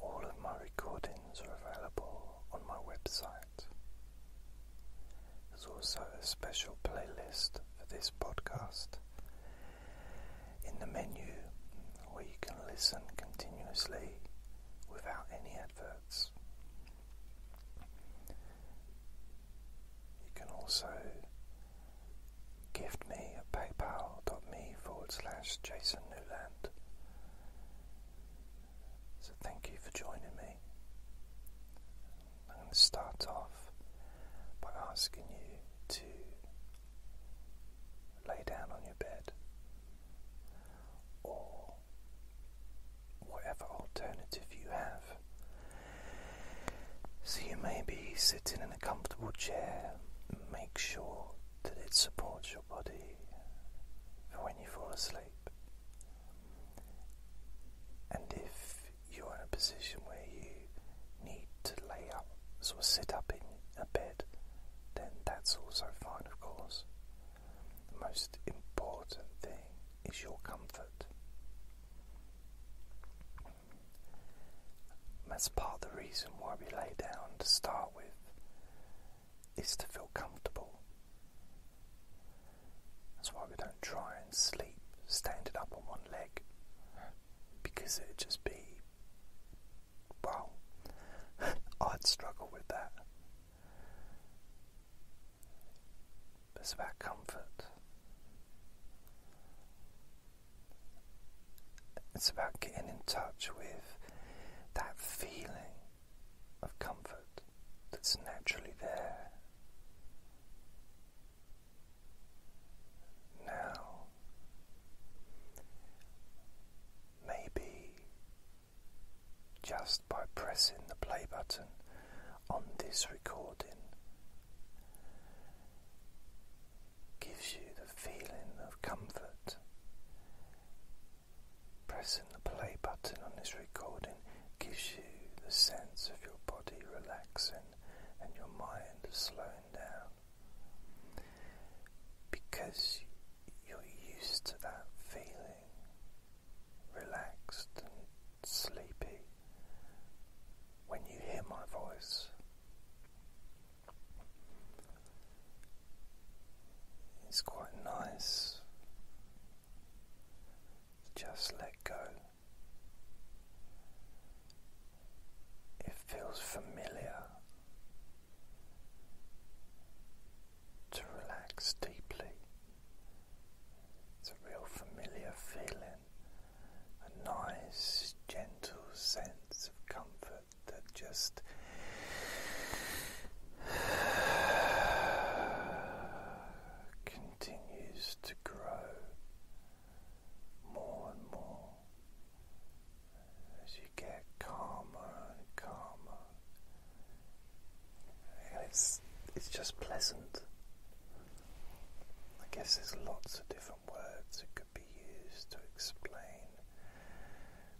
All of my recordings are available on my website. There's also a special playlist for this podcast in the menu where you can listen continuously without any adverts. You can also gift me at paypal.me forward So thank you for joining me. I'm going to start off by asking you to lay down on your bed or whatever alternative you have. So you may be sitting in a comfortable chair, make sure that it supports your body when you fall asleep. And if you're in a position where you need to lay up, sort sit up in a bed, then that's also fine, of course. The most important thing is your comfort. That's part of the reason why we lay down to start with, is to feel comfortable. That's why we don't try and sleep standing up on one leg, because it'd just be, well, I'd struggle with that. It's about comfort. It's about getting in touch with that feeling of comfort that's naturally there. Now, maybe just by pressing the play button on this recording gives you the feeling of comfort. Pressing the play button on this recording gives you the sense of your body relaxing and your mind slowing down because you're used to that feeling relaxed and sleepy when you hear my voice. It's quite nice to just let go. It feels familiar to relax deeply. It's a real familiar feeling, a nice, gentle sense of comfort that just continues to grow more and more as you get calmer and calmer it's it's just pleasant. I guess there's lots of different words that could be used to explain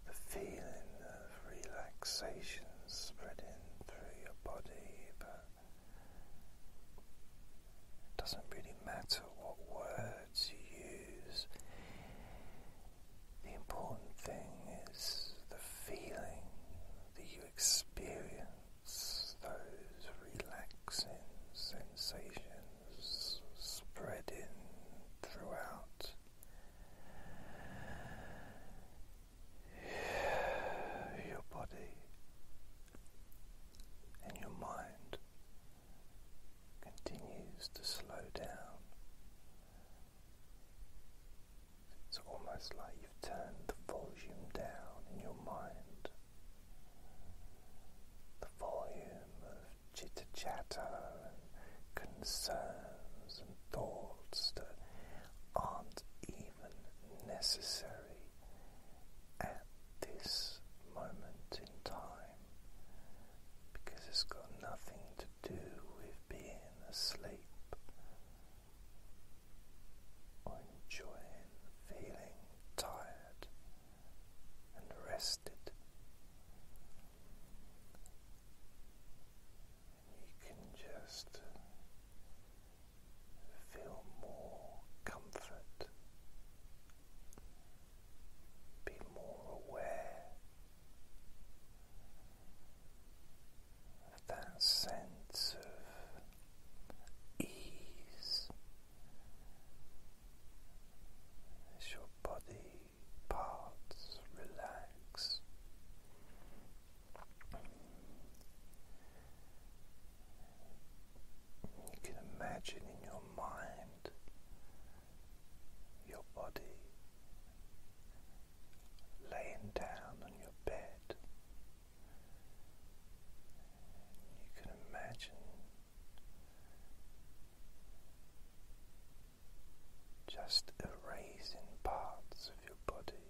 the feeling of relaxation spreading through your body, but it doesn't really matter what words you use. The important thing is the feeling that you experience those relaxing sensations spreading throughout. Your body and your mind continues to slow down it's almost like you've turned the volume down in your mind. The volume of chitter chatter and concerns and thoughts that aren't even necessary at this moment in time because it's got nothing to do with being asleep or enjoying feeling tired and rested. you can just feel more comfort, be more aware that sense of ease as your body parts relax. You can imagine in your mind your body laying down on your bed you can imagine just erasing parts of your body.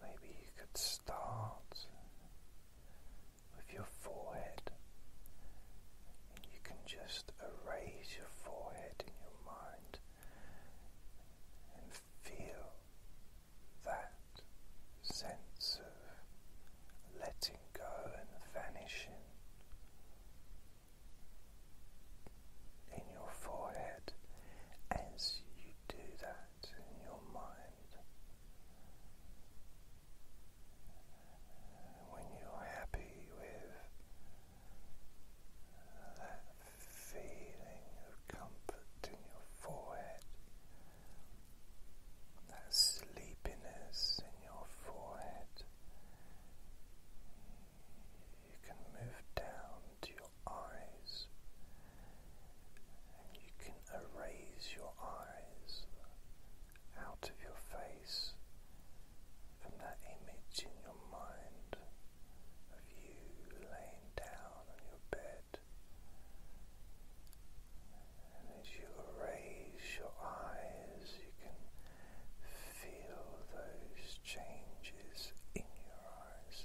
Maybe you could start with your forehead, and you can just erase your forehead in your mind and feel that sense of letting go and vanishing in your forehead as you do that in your mind. When you're happy with that feeling of comfort in your forehead, that sleepiness in your forehead. You can move down to your eyes and you can erase your eyes out of your face from that image in your mind of you laying down on your bed. And as you raise your eyes, you can feel those changes in your eyes.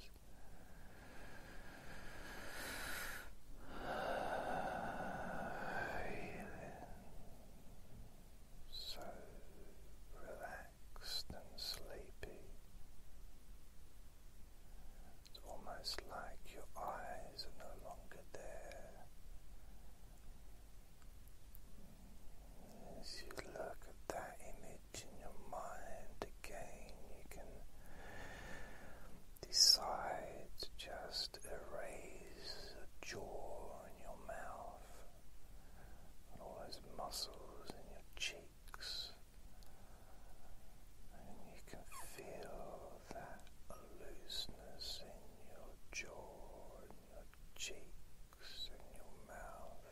Feeling so relaxed and sleepy. It's almost like your eyes are no longer there. As you look at that image in your mind again, you can decide to just erase a jaw in your mouth muscles in your cheeks, and you can feel that looseness in your jaw, and your cheeks, and your mouth.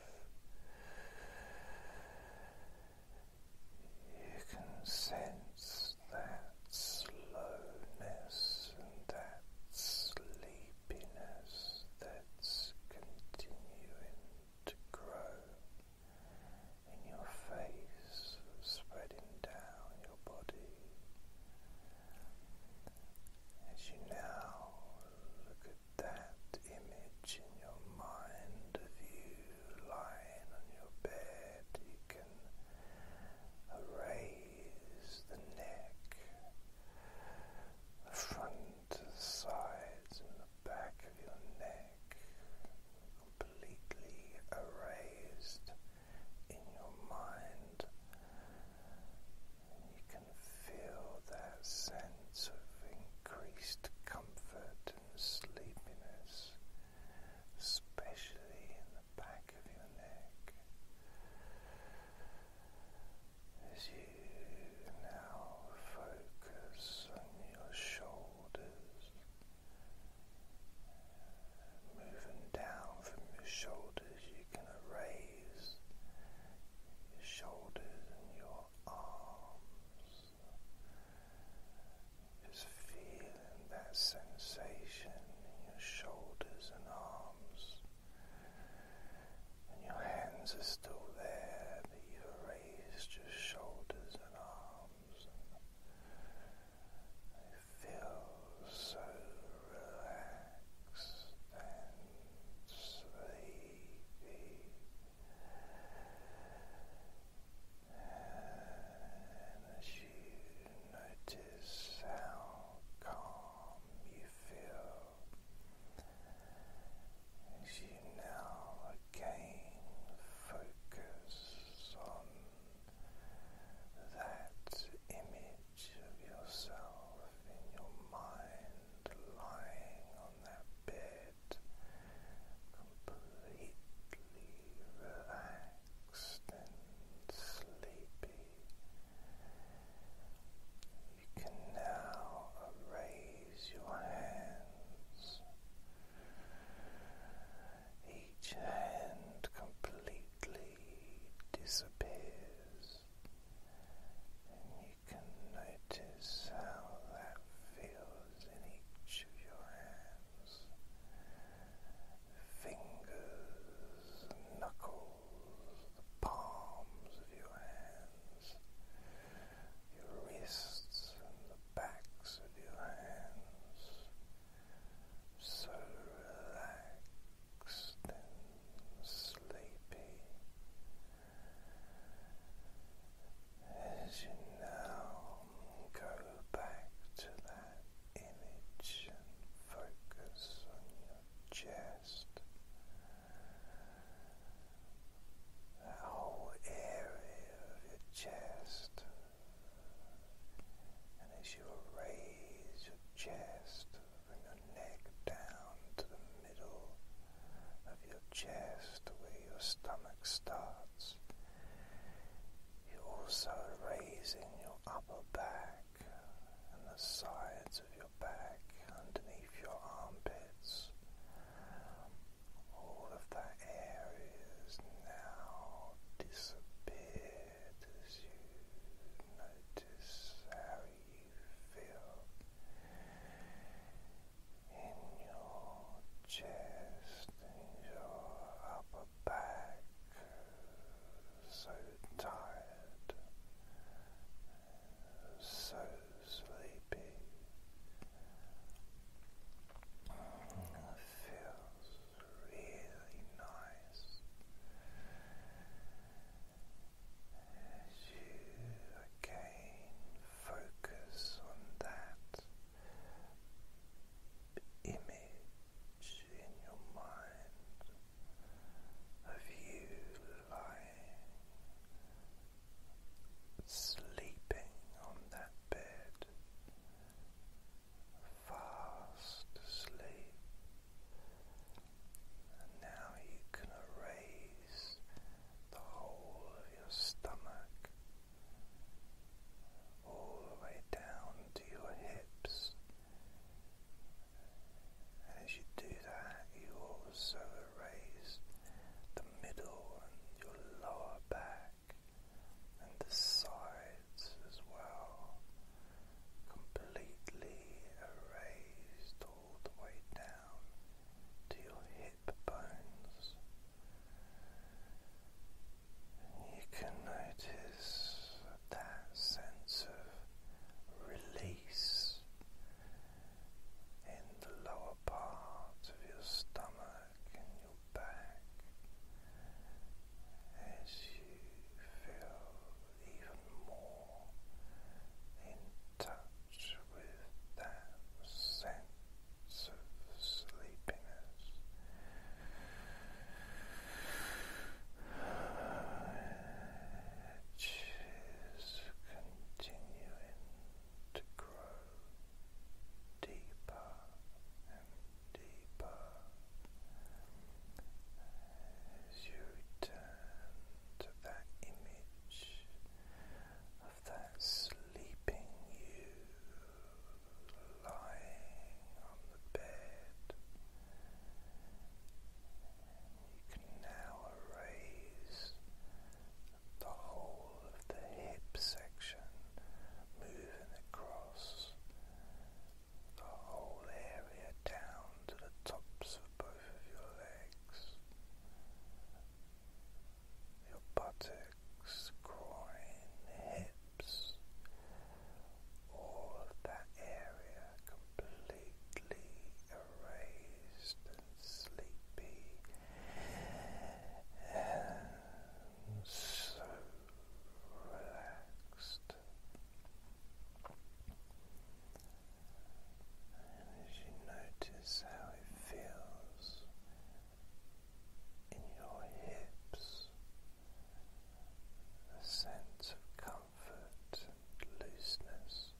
You can sense that slowness and that sleep happiness that's continuing to grow in your face, spreading down your body. As you now look at that image in your mind of you lying on your bed, you can erase the neck, the front to the sides and the back of your neck, completely erased in your mind. you can feel that sense of increased comfort and sleepiness, especially in the back of your neck. As you now focus on your shoulders, moving down from your shoulders, you can raise your shoulders and your arms, just feeling that sensation in your shoulders and arms and your hands are still there, but you've your shoulders and arms. And it so relaxed and sleepy. And as you notice how calm you feel, as you now again focus on that image of yourself in your mind lying on that bed, completely relaxed and sleepy. You can now raise your hands, each hand completely disappears, and you can notice how that feels in each of your hands. Fingers, knuckles, the palms of your hands, your wrists and the backs of your hands, so relaxed and sleepy. As you now go back to that image and focus on your chest, that whole area of your chest, and as you raise your chest, bring your neck down to the middle of your chest where your stomach starts. You're also raising your upper back and the sides of your back, underneath your armpits. All of that area is now disappeared as you notice how you feel in your chest, in your upper back, so tired so sleepy. feels really nice again focus on that image in your mind of you lying sleeping on that bed, fast asleep, and now you can erase the whole of your stomach. All the way down to your hips, and as you do that, you also erase the middle and your lower back and the sides as well. Completely erased all the way down to your hip bones. And you can notice that sense of release in the lower part of your stomach and your back as you feel even more in touch with that sense of sleepiness is continuing to grow deeper and deeper as you return to that image of that sleeping you lying on the bed. You can now erase the whole of the hip section, moving across the whole area down to the tops of both of your legs, your buttocks, groin, hips. All of that area completely raised and sleepy and so relaxed. And as you notice how it feels in your hips, a sense of comfort comfort looseness,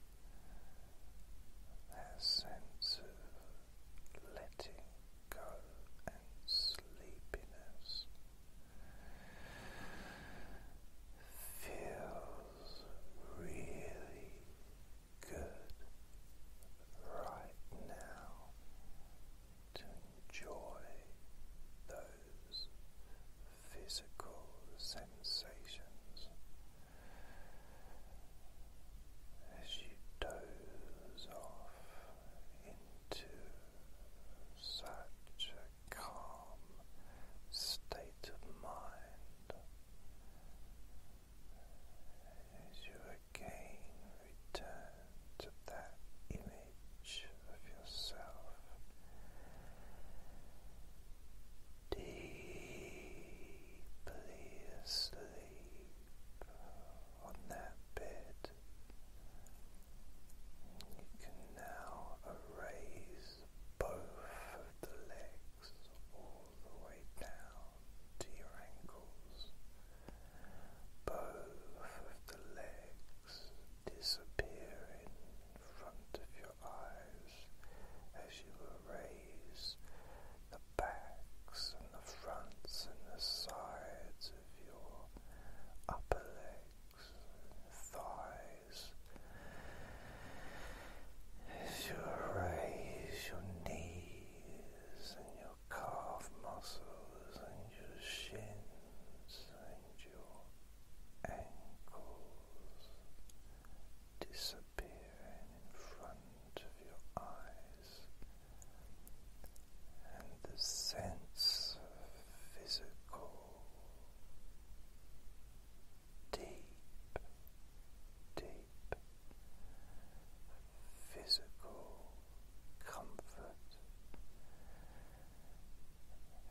that sense of letting go and sleepiness feels really good right now enjoy those physical sensations as you doze off into such a calm state of mind as you again return to that image of yourself deeply asleep on that bed. You can now erase both of the legs all the way down to your ankles. Both of the legs disappearing in front of your eyes as you erase the backs and the fronts and the sides of your upper legs thighs. As you raise your knees and your calf muscles and your shins your ankles disappearing in front of your eyes, and the sense of physical deep, deep physical comfort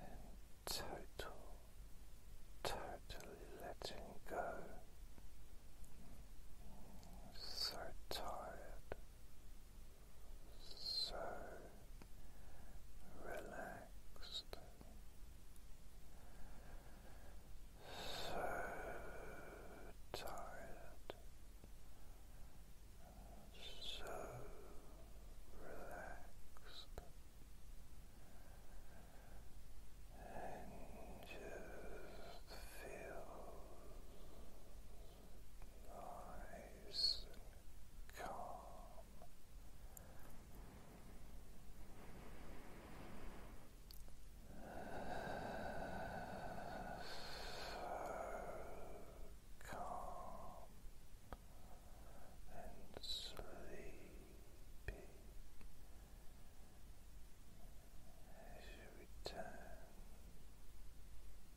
and total, totally letting go. So tired, so relaxed, so tired, so relaxed. And just feel nice and calm. So calm and sleepy as you return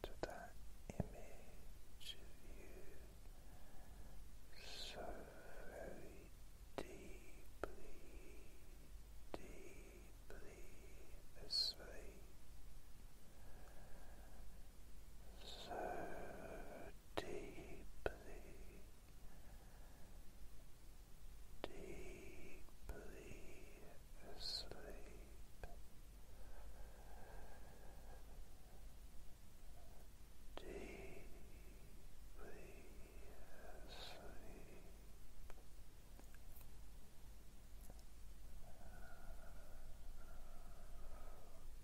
to that image of you so very deeply, deeply asleep. So deeply, deeply asleep, deeply asleep.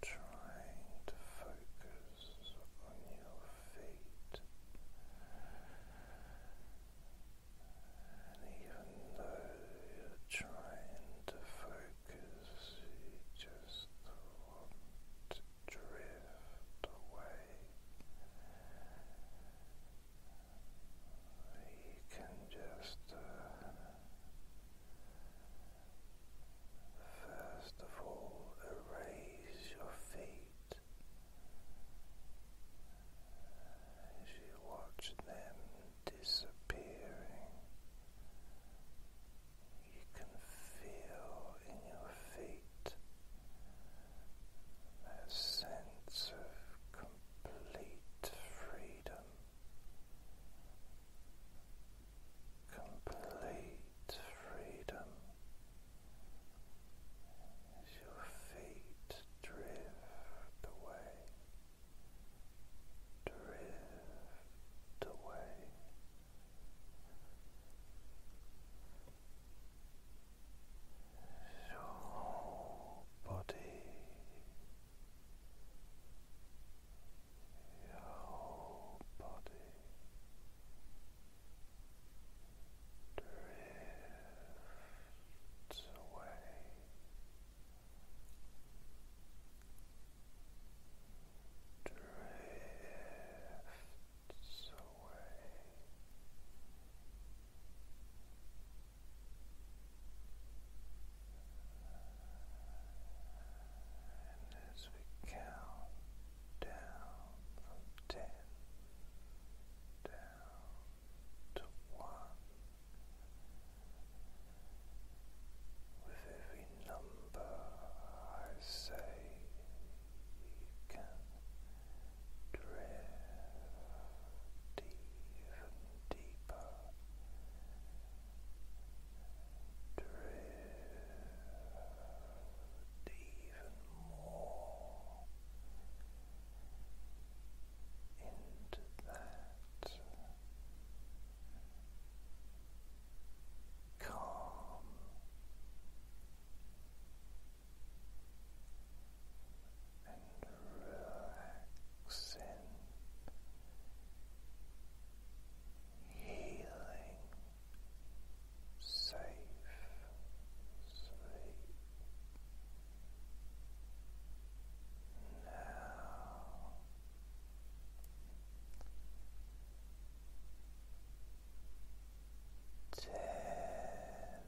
Trying to focus and even though you're trying to focus, you just want to drift away. You can just uh, First of all, erase your feet as you watch them disappearing. You can feel in your feet that sense of complete freedom complete freedom as your feet drift away, drift away. your whole body your whole body drifts away. Drifts away as we count down ten down to one, with every number I say, you can drift even deeper drift even more into that calm. And relaxing, healing safe sleep. Now ten nine